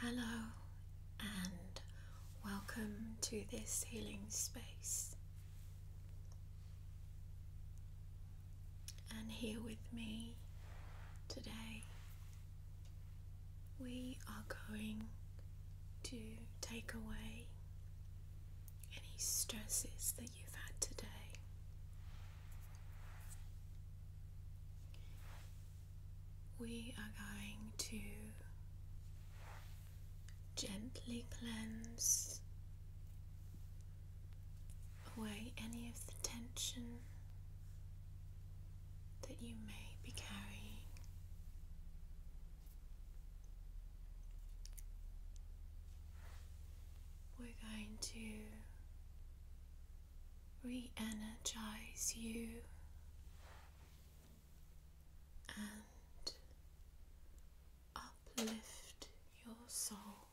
Hello, and welcome to this healing space. And here with me today, we are going to take away any stresses that you've had today we are going to gently cleanse away any of the tension that you may be carrying. We're going to re energize you and uplift your soul.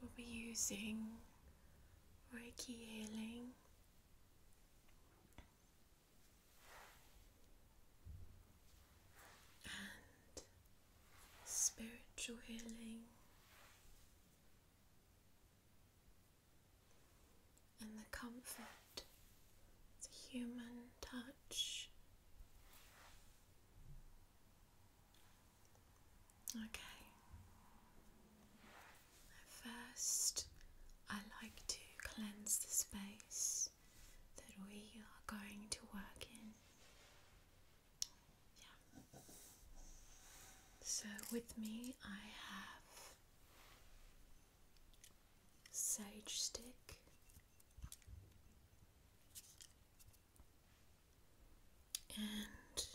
We'll be using Reiki healing. and spiritual healing, and the comfort, the human touch. Okay. First, I like to cleanse the space that we are going to work in. So with me, I have sage stick, and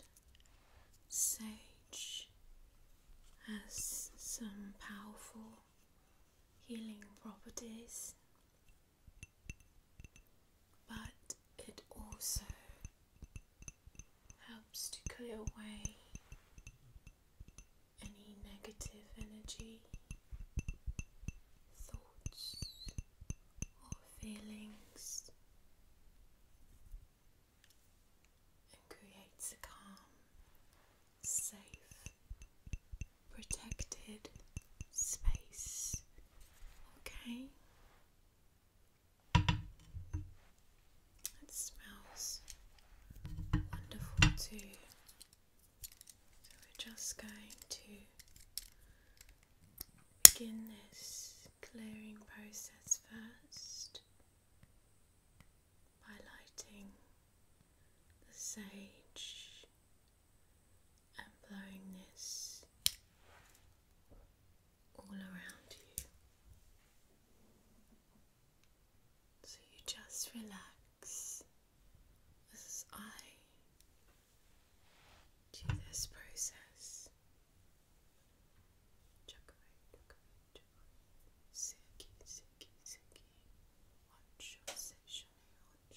sage has some powerful healing properties but it also helps to clear away any negative energy, thoughts, or feelings. And creates a calm, safe, protected space. Okay? It smells wonderful too. So we're just going to begin this clearing process first by lighting the sage and blowing this all around you. So you just relax as I do this process. Chuck away, chuck away, chuck away. One sensation, one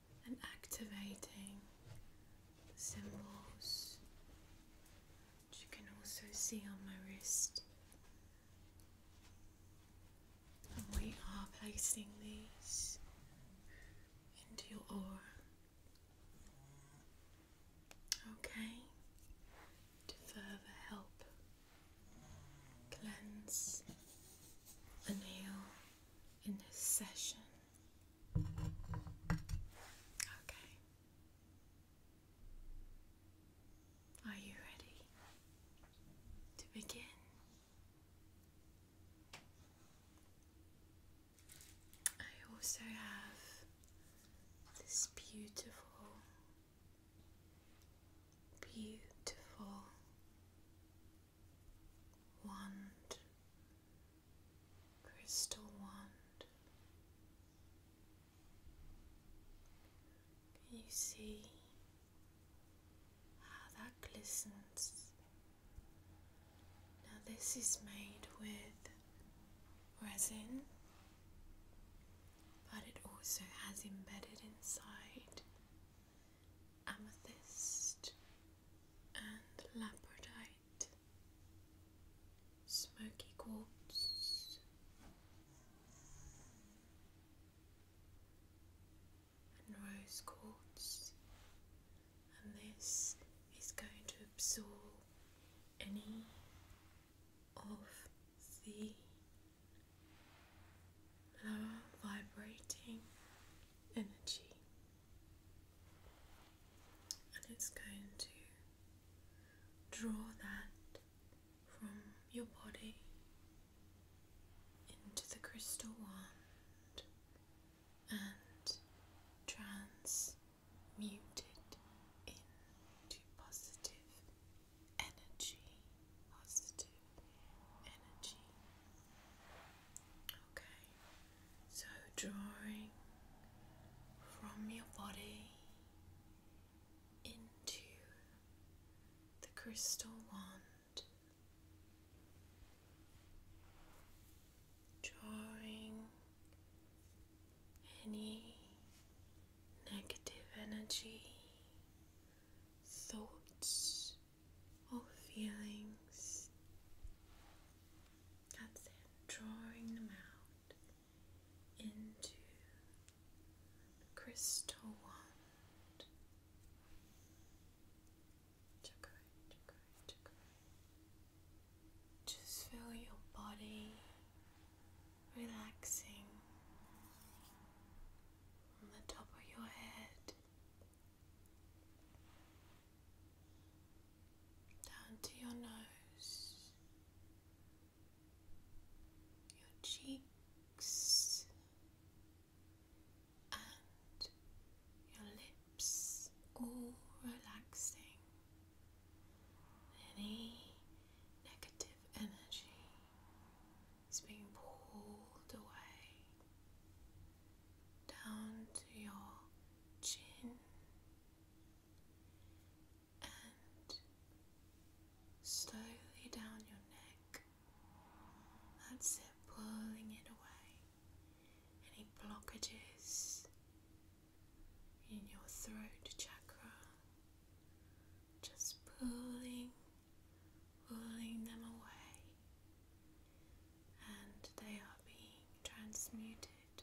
and activating the symbols, which you can also see on my wrist. And we are placing these into your aura. Okay, to further help cleanse and heal in this session. Okay. Are you ready to begin? I also have this beautiful, beautiful wand, crystal wand. Can you see how that glistens? Now, this is made with resin, but it also has embedded inside amethyst and labradite, smoky quartz, and rose quartz, and this is going to absorb any of the lower vibrating energy, and it's going to draw that from your body into the crystal wand and transmute it into positive energy, positive energy. Okay, so drawing from your body into the crystal wand, drawing any negative energy, thoughts, all feelings. That's it, drawing them out into crystal wand. Just feel your body relaxing on the top of your head down to your nose, your cheeks, and your lips all relaxing. Any negative energy is being pulled away down to your chin and slowly down your neck. That's it, pulling it away. Any blockages in your throat chakra, just pulling, pulling them away and they are being transmuted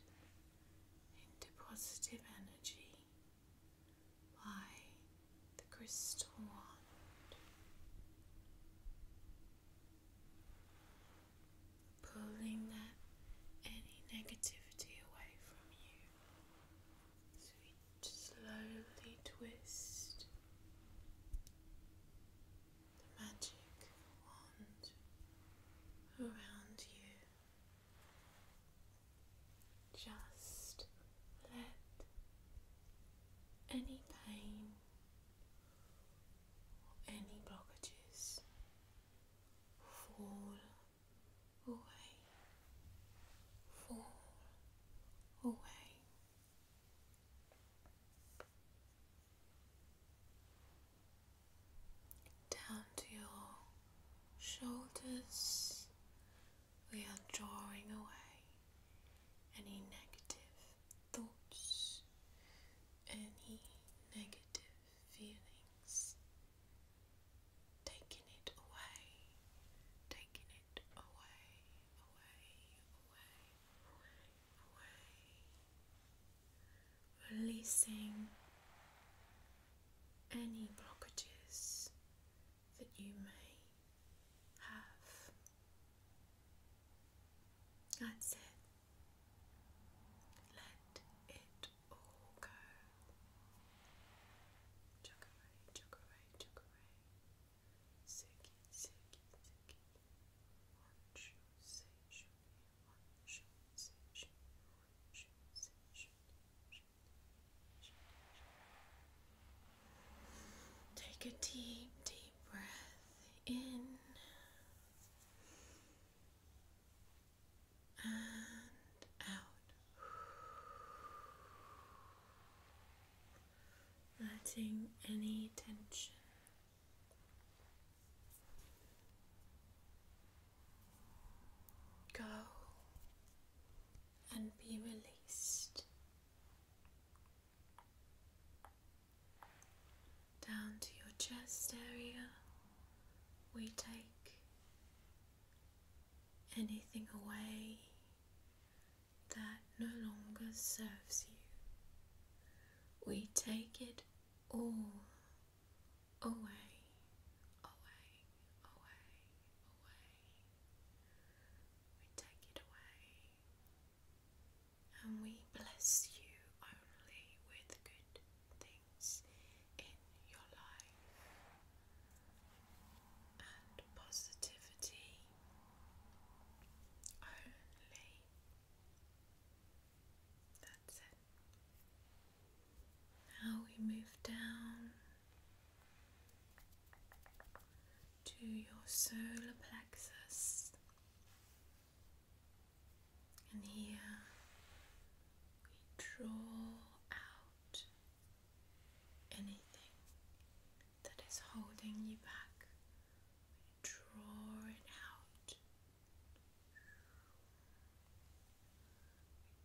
into positive energy by the crystal wand. Pulling that any negativity away from you. So you slowly twist the magic wand around you. Just let any pain any blockages fall away, fall away down to your shoulders. We are drawing away any negative thoughts, any negative feelings, taking it away, taking it away, away, away, away away, releasing any blockages that you may have. That's it. Let it all go. Chug away, chug Take a deep, deep breath in and out, letting any tension Go and be released down to your chest area. We take anything away that no longer serves you. We take it all away, away, away, away. We take it away and we bless you only with good things in your life and positivity only. That's it. Now we move down to your solar plexus, and here we draw out anything that is holding you back draw it out,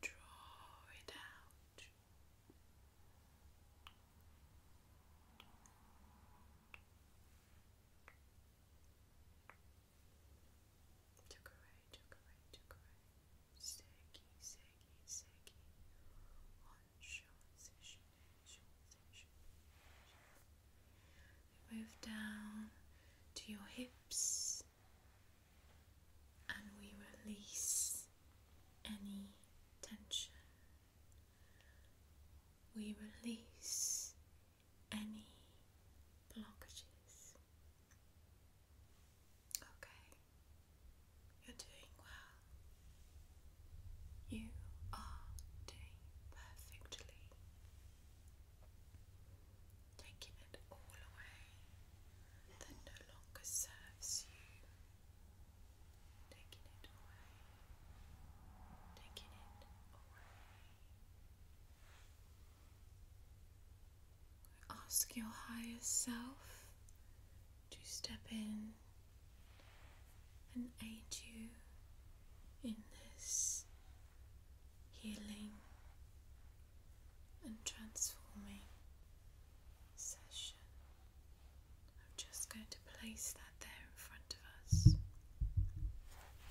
draw it out. Took away, took away, took away move down to your hips and we release any tension. We release any blockages. Okay, you're doing well. You are doing perfectly. Taking it all away that no longer serves you. Taking it away. Taking it away. Ask your higher self to step in and aid you in this healing and transforming session. I'm just going to place that there in front of us.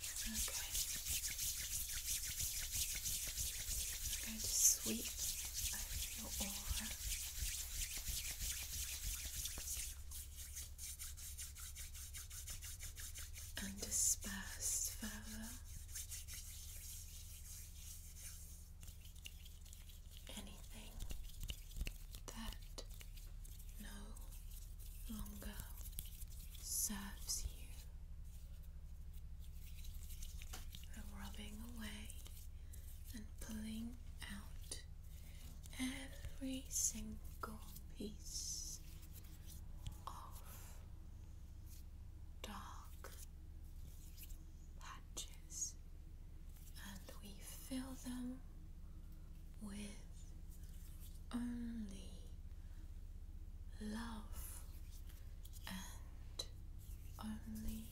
Okay. I'm going to sweep over your aura and dispersed further. Anything that no longer serves you. Rubbing away and pulling out every single piece of dark patches and we fill them with only love and only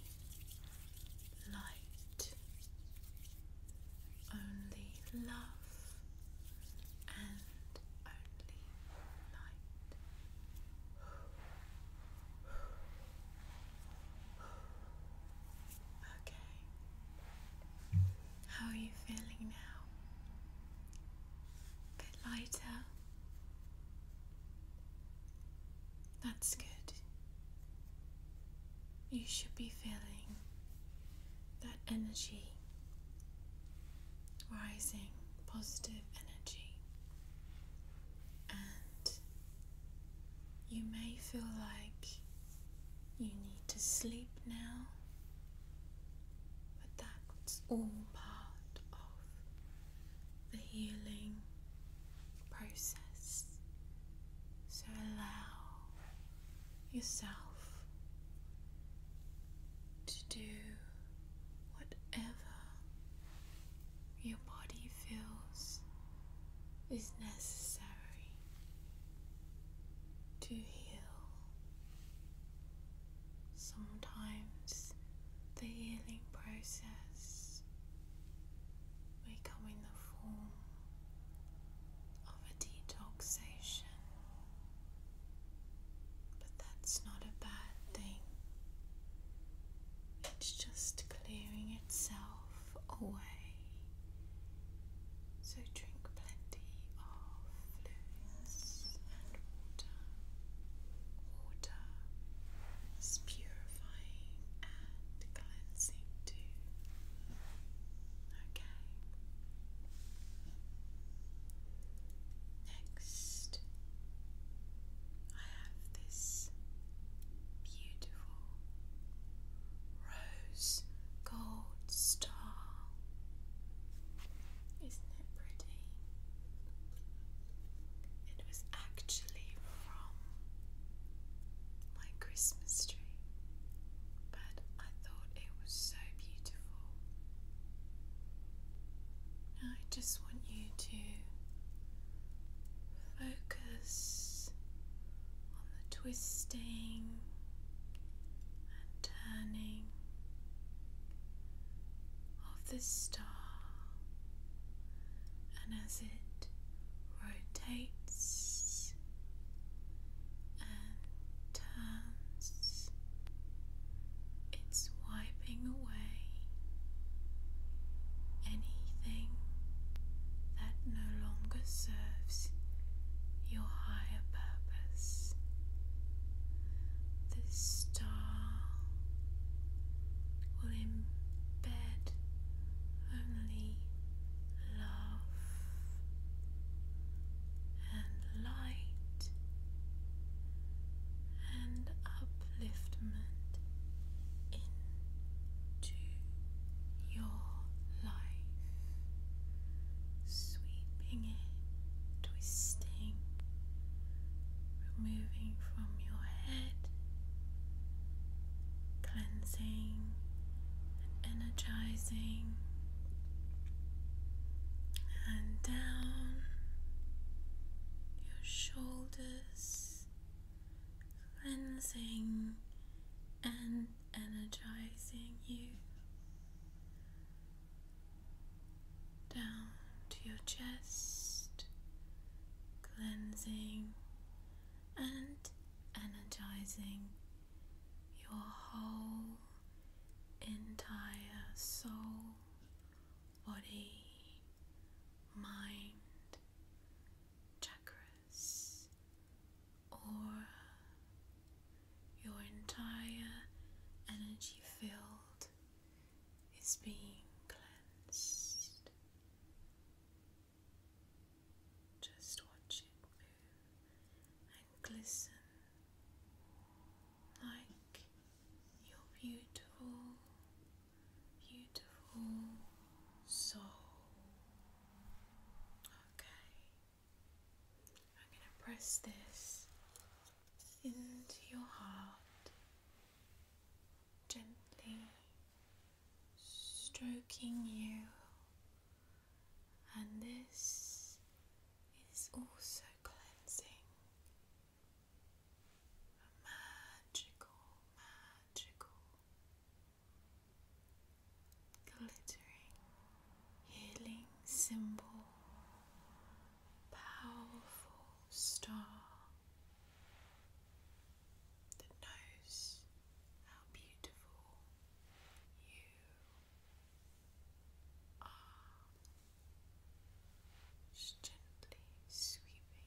light only love and only light. Okay, how are you feeling now? A bit lighter? That's good. You should be feeling that energy rising, positive energy, and you may feel like you need to sleep now, but that's all part of the healing process. So allow yourself to do whatever your body feels is necessary to heal. Sometimes the healing process may come in the form of a detoxation, but that's not a bad thing. It's just clearing itself away. So drink plenty of fluids and water. Water is purifying and cleansing too. Okay. Next, I have this beautiful rose gold star. Isn't it pretty? It was actually from my Christmas tree, but I thought it was so beautiful. Now I just want you to focus on the twisting and turning of the star, and as it rotates and turns, it's wiping away anything that no longer serves your higher purpose. This star will embed only love and light and upliftment into your life, sweeping it, twisting, removing from your head cleansing and energizing, and down your shoulders, cleansing and energizing you. Down to your chest, cleansing and energizing your whole entire soul, body, mind, chakras, or your entire energy field is being cleansed. Just watch it move and glisten like your beautiful, beautiful soul. Okay, I'm going to press this into your heart, gently stroking you and this is also cleansing. magical, magical, glittering, healing symbol, powerful star that knows how beautiful you are. gently sweeping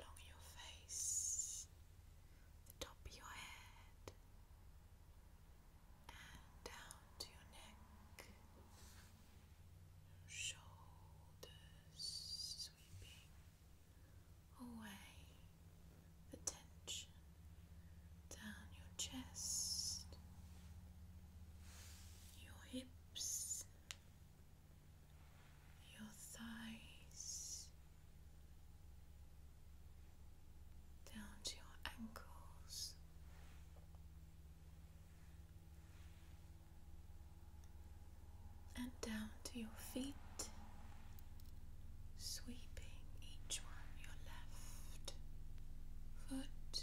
along your face, the top of your head, and down to your neck, your shoulders sweeping away the tension down your chest, your hips, your thighs, down to your ankles. And down to your feet, sweeping each one your left foot,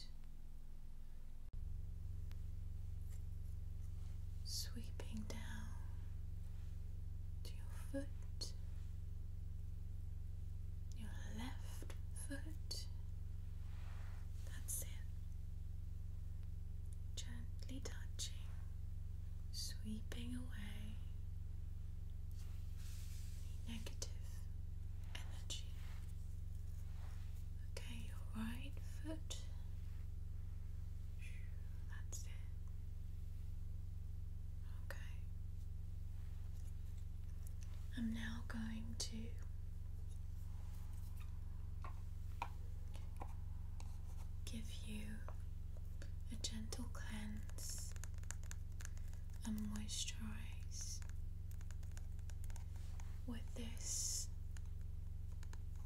sweeping down to your foot, your left foot. That's it. Gently touching sweeping away negative energy. Okay, your right foot. That's it. Okay. I'm now going to give you a gentle cleanse, and moisturize with this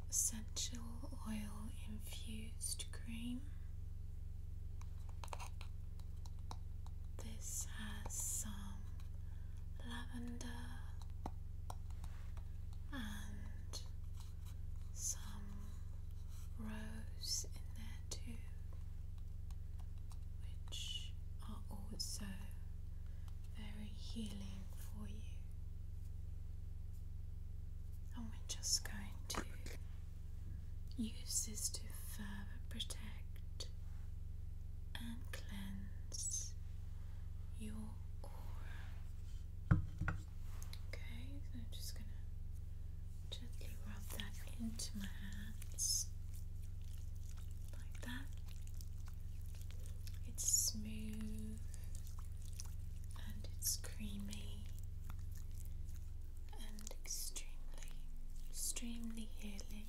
essential oil infused cream. This has some lavender and some rose in there too, which are also very healing for you. And we're just going to use this to further protect and cleanse your aura. Okay, I'm just gonna gently rub that into my hands like that. It's smooth and it's creamy and extremely, extremely healing.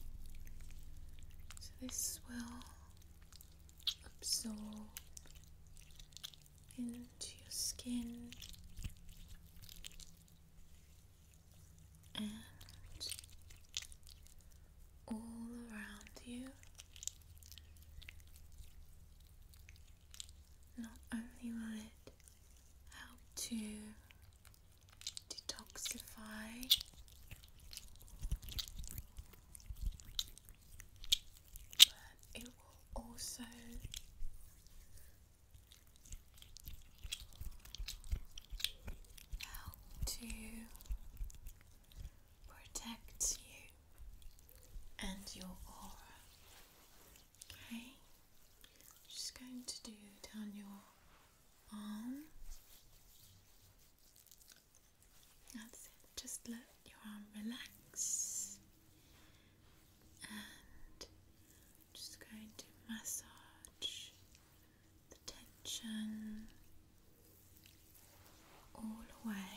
So this will absorb into your skin and all around you. Not only will it help to detoxify but it will also how to protect you and your aura. Okay, just going to do down your arm. That's it. Just let your arm relax and just going to massage the tension all away.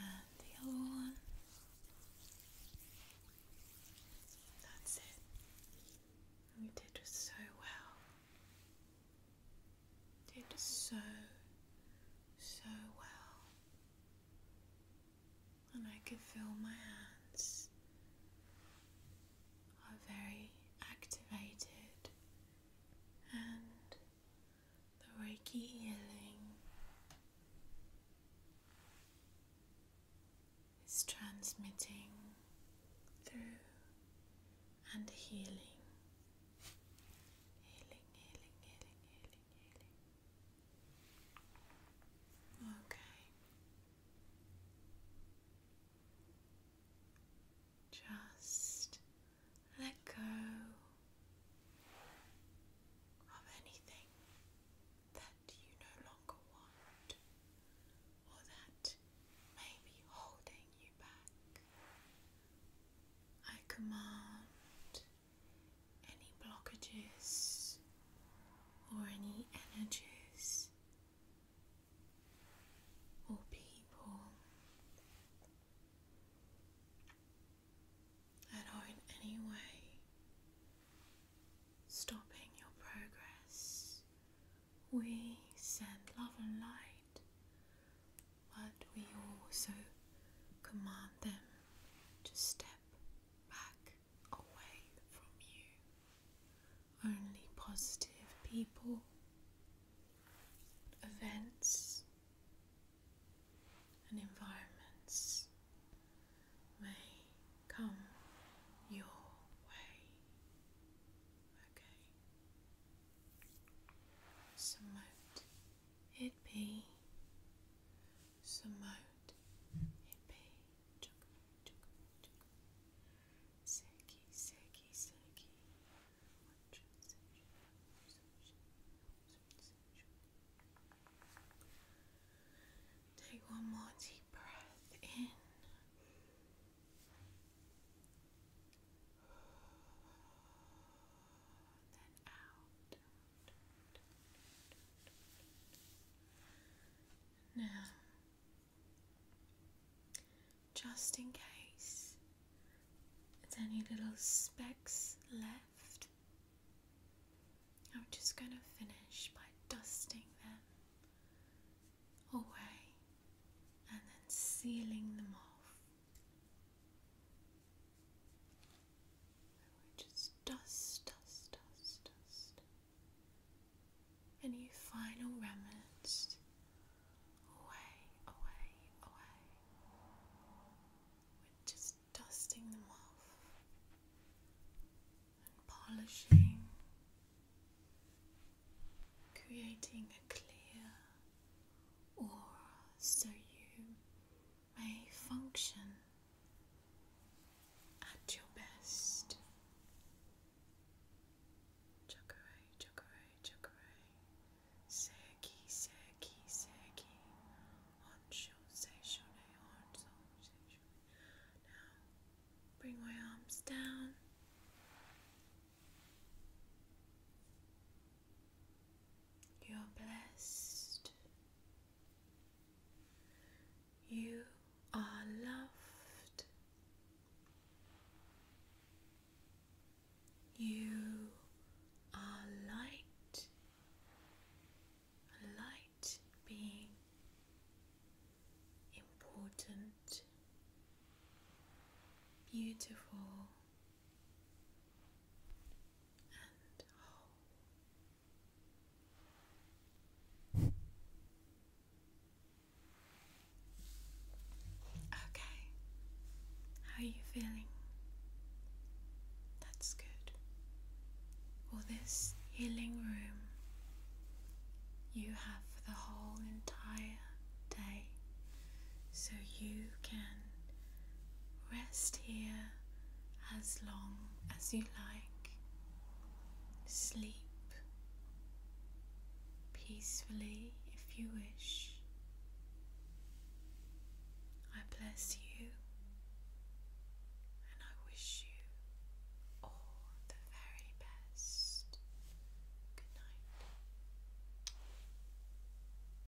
And the other one. That's it. You did just so well. Did so, so well and I can feel my hands are very activated and the Reiki healing is transmitting through and healing. Healing, healing, healing, healing. Okay. Just let go of anything that you no longer want or that may be holding you back. I command any blockages or any energies or people that are in any way stopping your progress. We send love and light but we also command them to step back away from you. Only positive people, events, and environments may come your way. Okay. Submit it be Samote, it be chocolate, chocolate, chocolate, seki, seki, seki, Take one more deep breath in. Then out. Now, just in case there's any little specks left, I'm just going to finish by dusting them away and then sealing them off just dust, dust, dust, dust. Any final remnants away, away, away. We're just dusting them off and polishing, creating a clear aura so you may function at your best. Chakray, chakray, chakray. Seki, seki, seki. Honsho, seishone, honsho, seishone. Now, bring my arms down. You are blessed. You are loved. You are light, a light being important, beautiful. Okay, how are you feeling? That's good. Well, this healing room you have for the whole entire day, so you can Rest here as long as you like. Sleep peacefully if you wish. I bless you and I wish you all the very best. Good night.